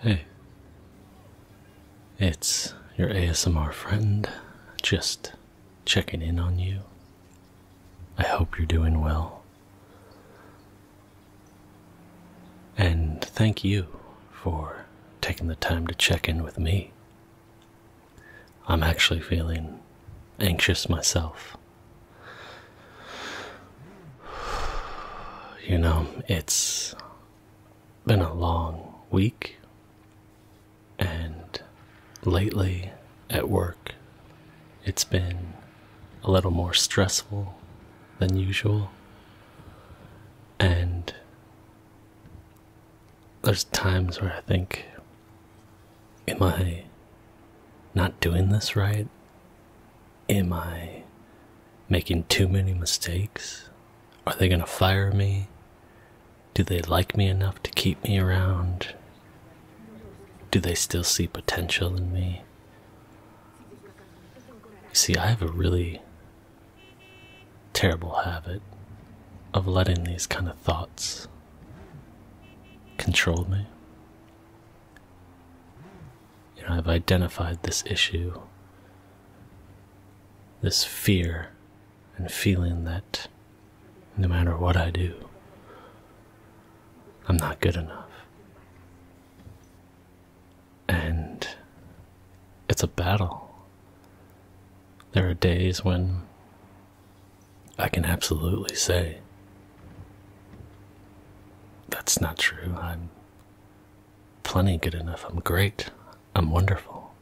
Hey, it's your ASMR friend, just checking in on you. I hope you're doing well. And thank you for taking the time to check in with me. I'm actually feeling anxious myself. You know, it's been a long week, and lately at work, it's been a little more stressful than usual, and there's times where I think Am I not doing this right? Am I making too many mistakes? Are they going to fire me? Do they like me enough to keep me around? Do they still see potential in me? See, I have a really terrible habit of letting these kind of thoughts control me. You know, I've identified this issue, this fear, and feeling that no matter what I do, I'm not good enough. And it's a battle. There are days when I can absolutely say that's not true. I'm plenty good enough. I'm great. I'm wonderful.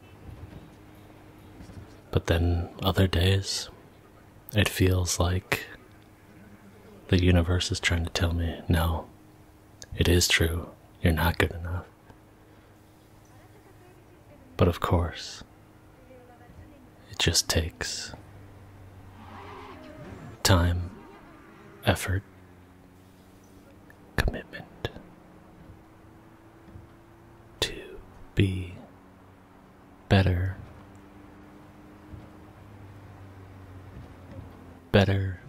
But then other days, it feels like the universe is trying to tell me no, it is true. You're not good enough. But of course, it just takes time, effort, commitment to be better, better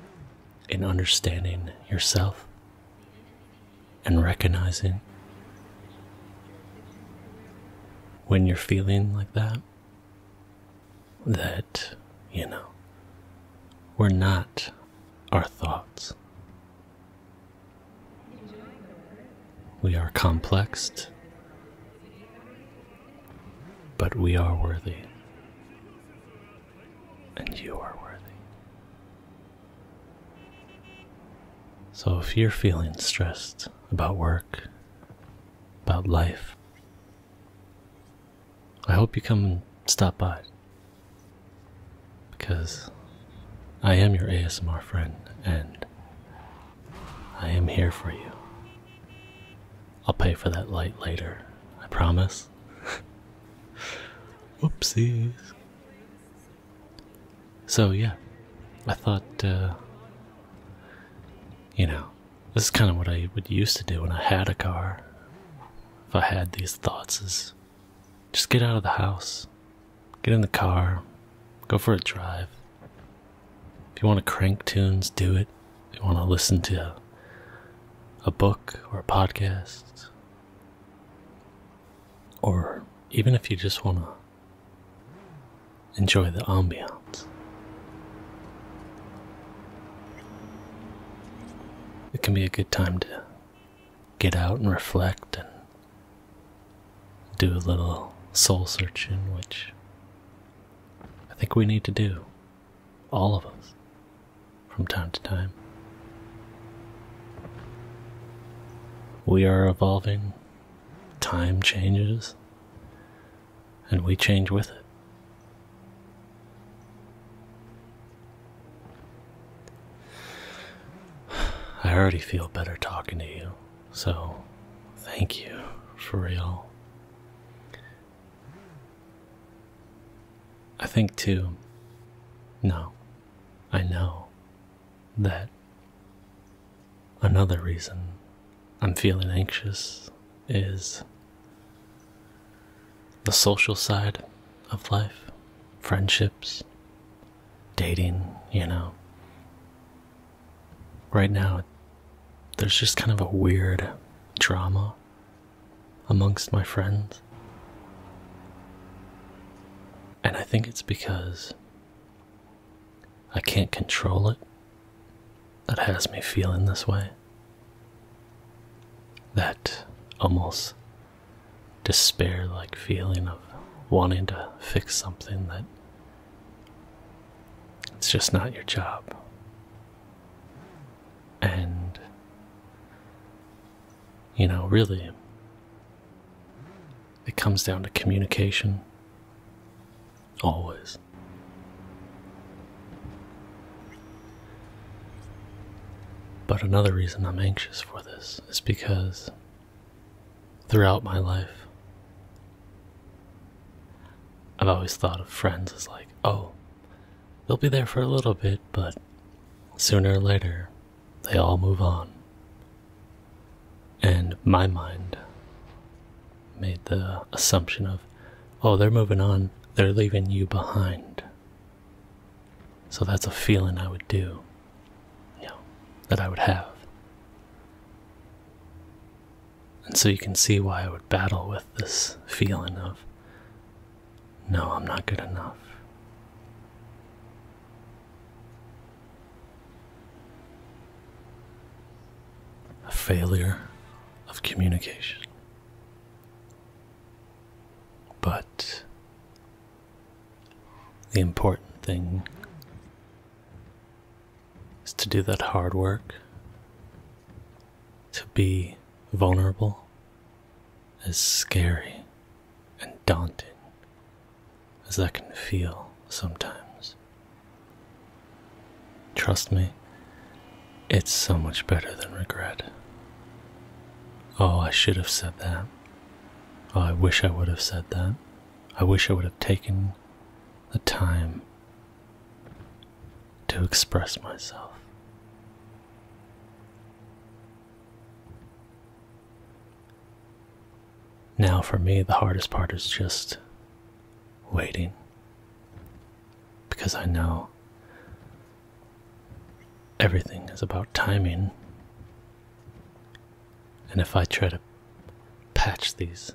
in understanding yourself and recognizing when you're feeling like that that, you know, we're not our thoughts. We are complexed, but we are worthy, and you are worthy. So if you're feeling stressed, about work, about life. I hope you come and stop by because I am your ASMR friend and I am here for you. I'll pay for that light later, I promise. Whoopsies. So yeah, I thought, uh, you know, this is kind of what I would used to do when I had a car. If I had these thoughts, is just get out of the house, get in the car, go for a drive. If you want to crank tunes, do it. If you want to listen to a book or a podcast, or even if you just want to Enjoy the ambiance. It can be a good time to get out and reflect and do a little soul searching, which I think we need to do, all of us, from time to time. We are evolving Time changes, and we change with it. I already feel better talking to you, so thank you for real. I think, too. No, I know that another reason I'm feeling anxious is the social side of life, friendships, dating, you know. Right now, there's just kind of a weird drama amongst my friends. And I think it's because I can't control it. That has me feeling this way. That almost despair like feeling of wanting to fix something that it's just not your job. And, you know, really, it comes down to communication. Always. But another reason I'm anxious for this is because throughout my life, I've always thought of friends as like, oh, they'll be there for a little bit, but sooner or later they all move on. And my mind made the assumption of, oh, they're moving on, they're leaving you behind. So that's a feeling I would do, you know, that I would have. And so you can see why I would battle with this feeling of, no, I'm not good enough. A failure of communication. But the important thing is to do that hard work, to be vulnerable, as scary and daunting as I can feel sometimes. Trust me, it's so much better than regret. Oh, I should have said that. Oh, I wish I would have said that. I wish I would have taken the time to express myself. Now, for me, the hardest part is just waiting because I know everything is about timing. And if I try to patch these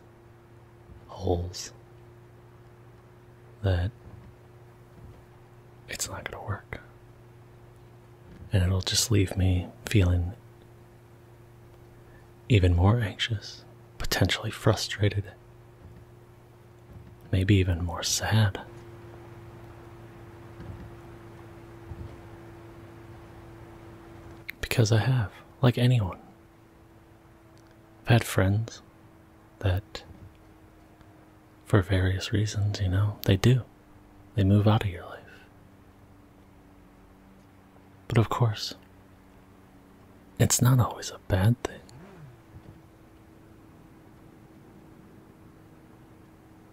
holes, then it's not going to work and it'll just leave me feeling even more anxious, potentially frustrated, maybe even more sad. Because I have, like anyone, I've had friends that for various reasons, you know, they do. They move out of your life. But of course, it's not always a bad thing.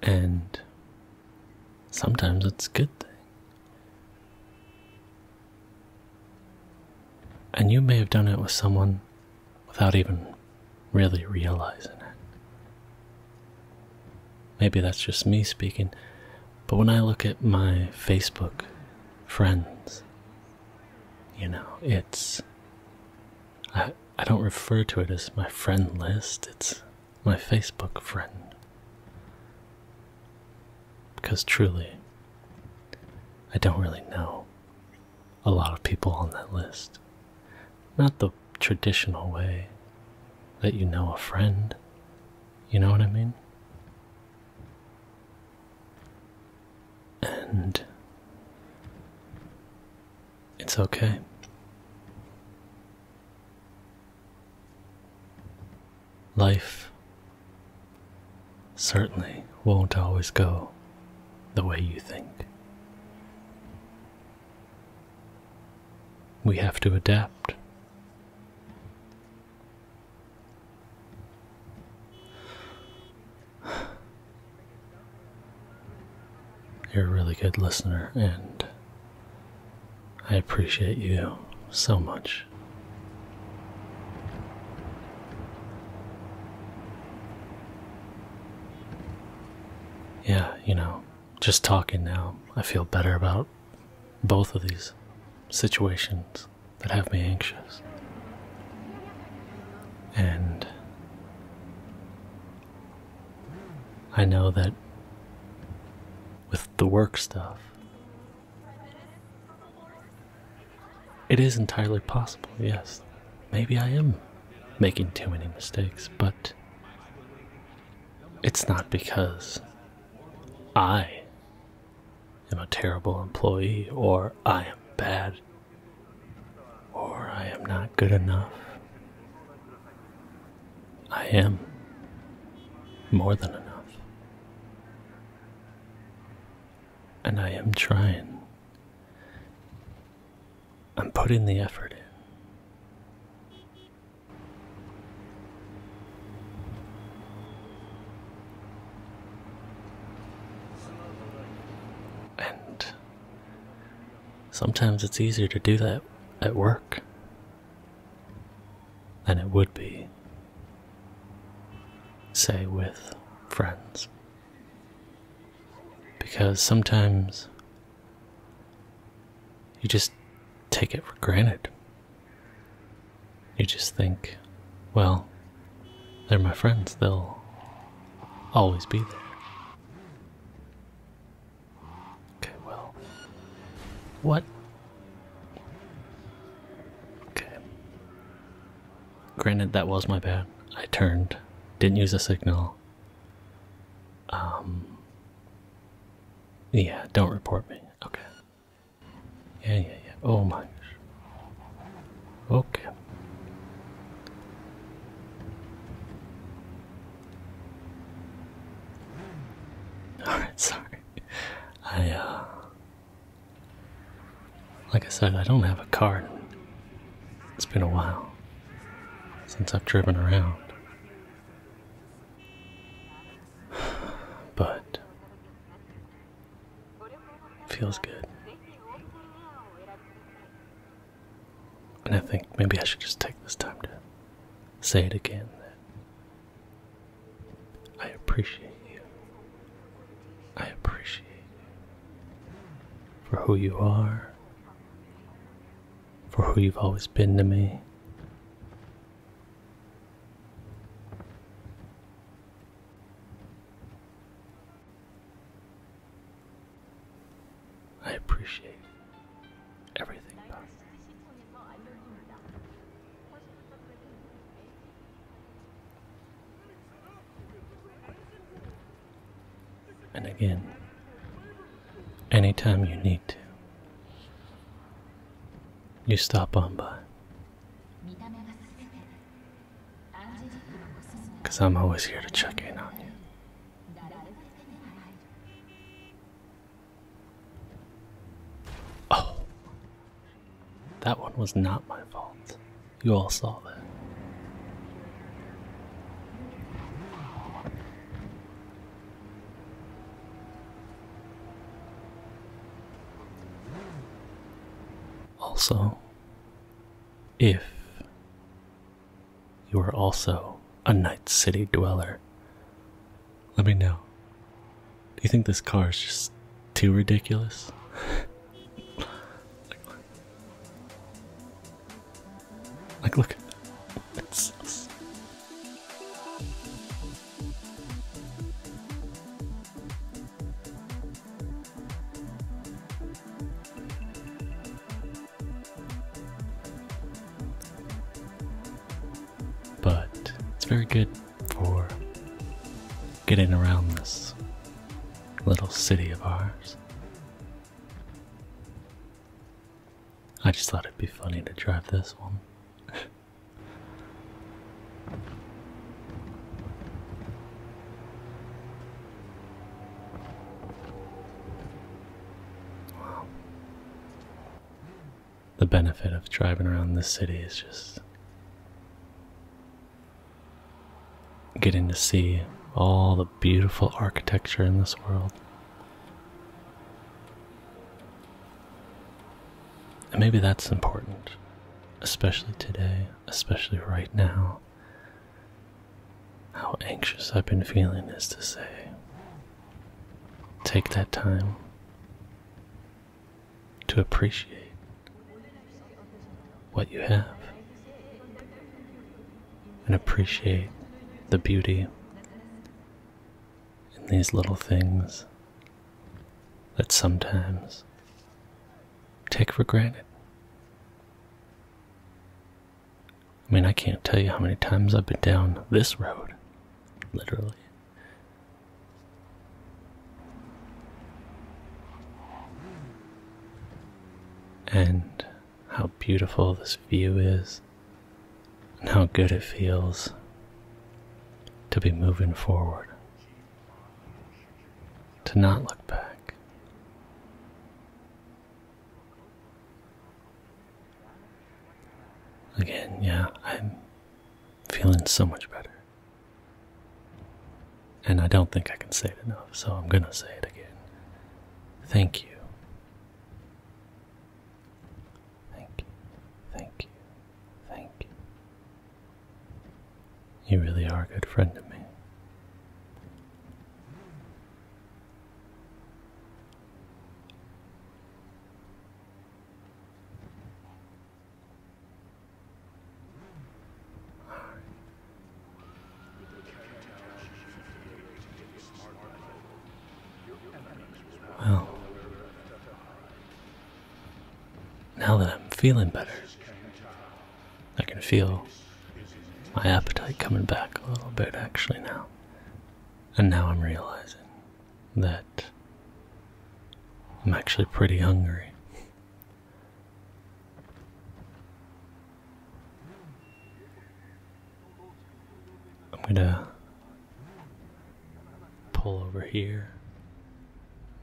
And sometimes it's a good thing. And you may have done it with someone without even really realizing it. Maybe that's just me speaking, but when I look at my Facebook friends, you know, it's. I, I don't refer to it as my friend list, it's my Facebook friend. Because truly, I don't really know a lot of people on that list. Not the traditional way that you know a friend. You know what I mean? And it's okay. Life certainly won't always go the way you think. We have to adapt. You're a really good listener, and I appreciate you so much. Yeah, you know, just talking now, I feel better about both of these situations that have me anxious. And I know that with the work stuff, it is entirely possible, yes. Maybe I am making too many mistakes, but it's not because I am a terrible employee or I am bad or I am not good enough. I am more than enough. And I am trying I'm putting the effort in. And sometimes it's easier to do that at work than it would be, say, with friends. Because sometimes you just take it for granted. You just think, well, they're my friends, they'll always be there. Okay, well, what? Okay. Granted, that was my bad. I turned, didn't use a signal. Um. Yeah, don't report me. Okay. Yeah, yeah, yeah. Oh my gosh. Okay. Alright, sorry. I, uh, like I said, I don't have a card. It's been a while since I've driven around. But feels good. And I think maybe I should just take this time to say it again that I appreciate you I appreciate for who you are, for who you've always been to me. I appreciate everything about you. And again, anytime you need to, you stop on by. Because I'm always here to check in on you. Oh, that one was not my fault. You all saw that. Also, if you are also a Night City dweller, let me know. Do you think this car is just too ridiculous? like, look. like, look. But it's very good for getting around this little city of ours. I just thought it'd be funny to drive this one. wow. The benefit of driving around this city is just getting to see all the beautiful architecture in this world. And maybe that's important, especially today, especially right now. How anxious I've been feeling is to say, take that time, to appreciate what you have and appreciate the beauty in these little things that sometimes take for granted. I mean, I can't tell you how many times I've been down this road, literally. And how beautiful this view is, and how good it feels to be moving forward, to not look back. Again, yeah, I'm feeling so much better. And I don't think I can say it enough, so I'm going to say it again. Thank you. Thank you. Thank you. Thank you. You really are a good friend to me. Well, now that I'm feeling better, I can feel my appetite coming back a little bit actually now. And now I'm realizing that I'm actually pretty hungry. I'm gonna pull over here.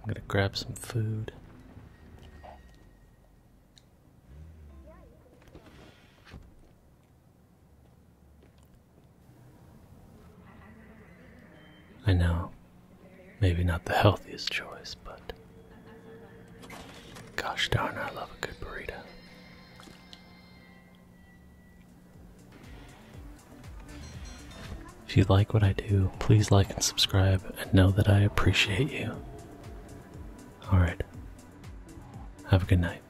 I'm gonna grab some food. I know, maybe not the healthiest choice, but gosh darn, I love a good burrito. If you like what I do, please like and subscribe and know that I appreciate you. Alright, have a good night.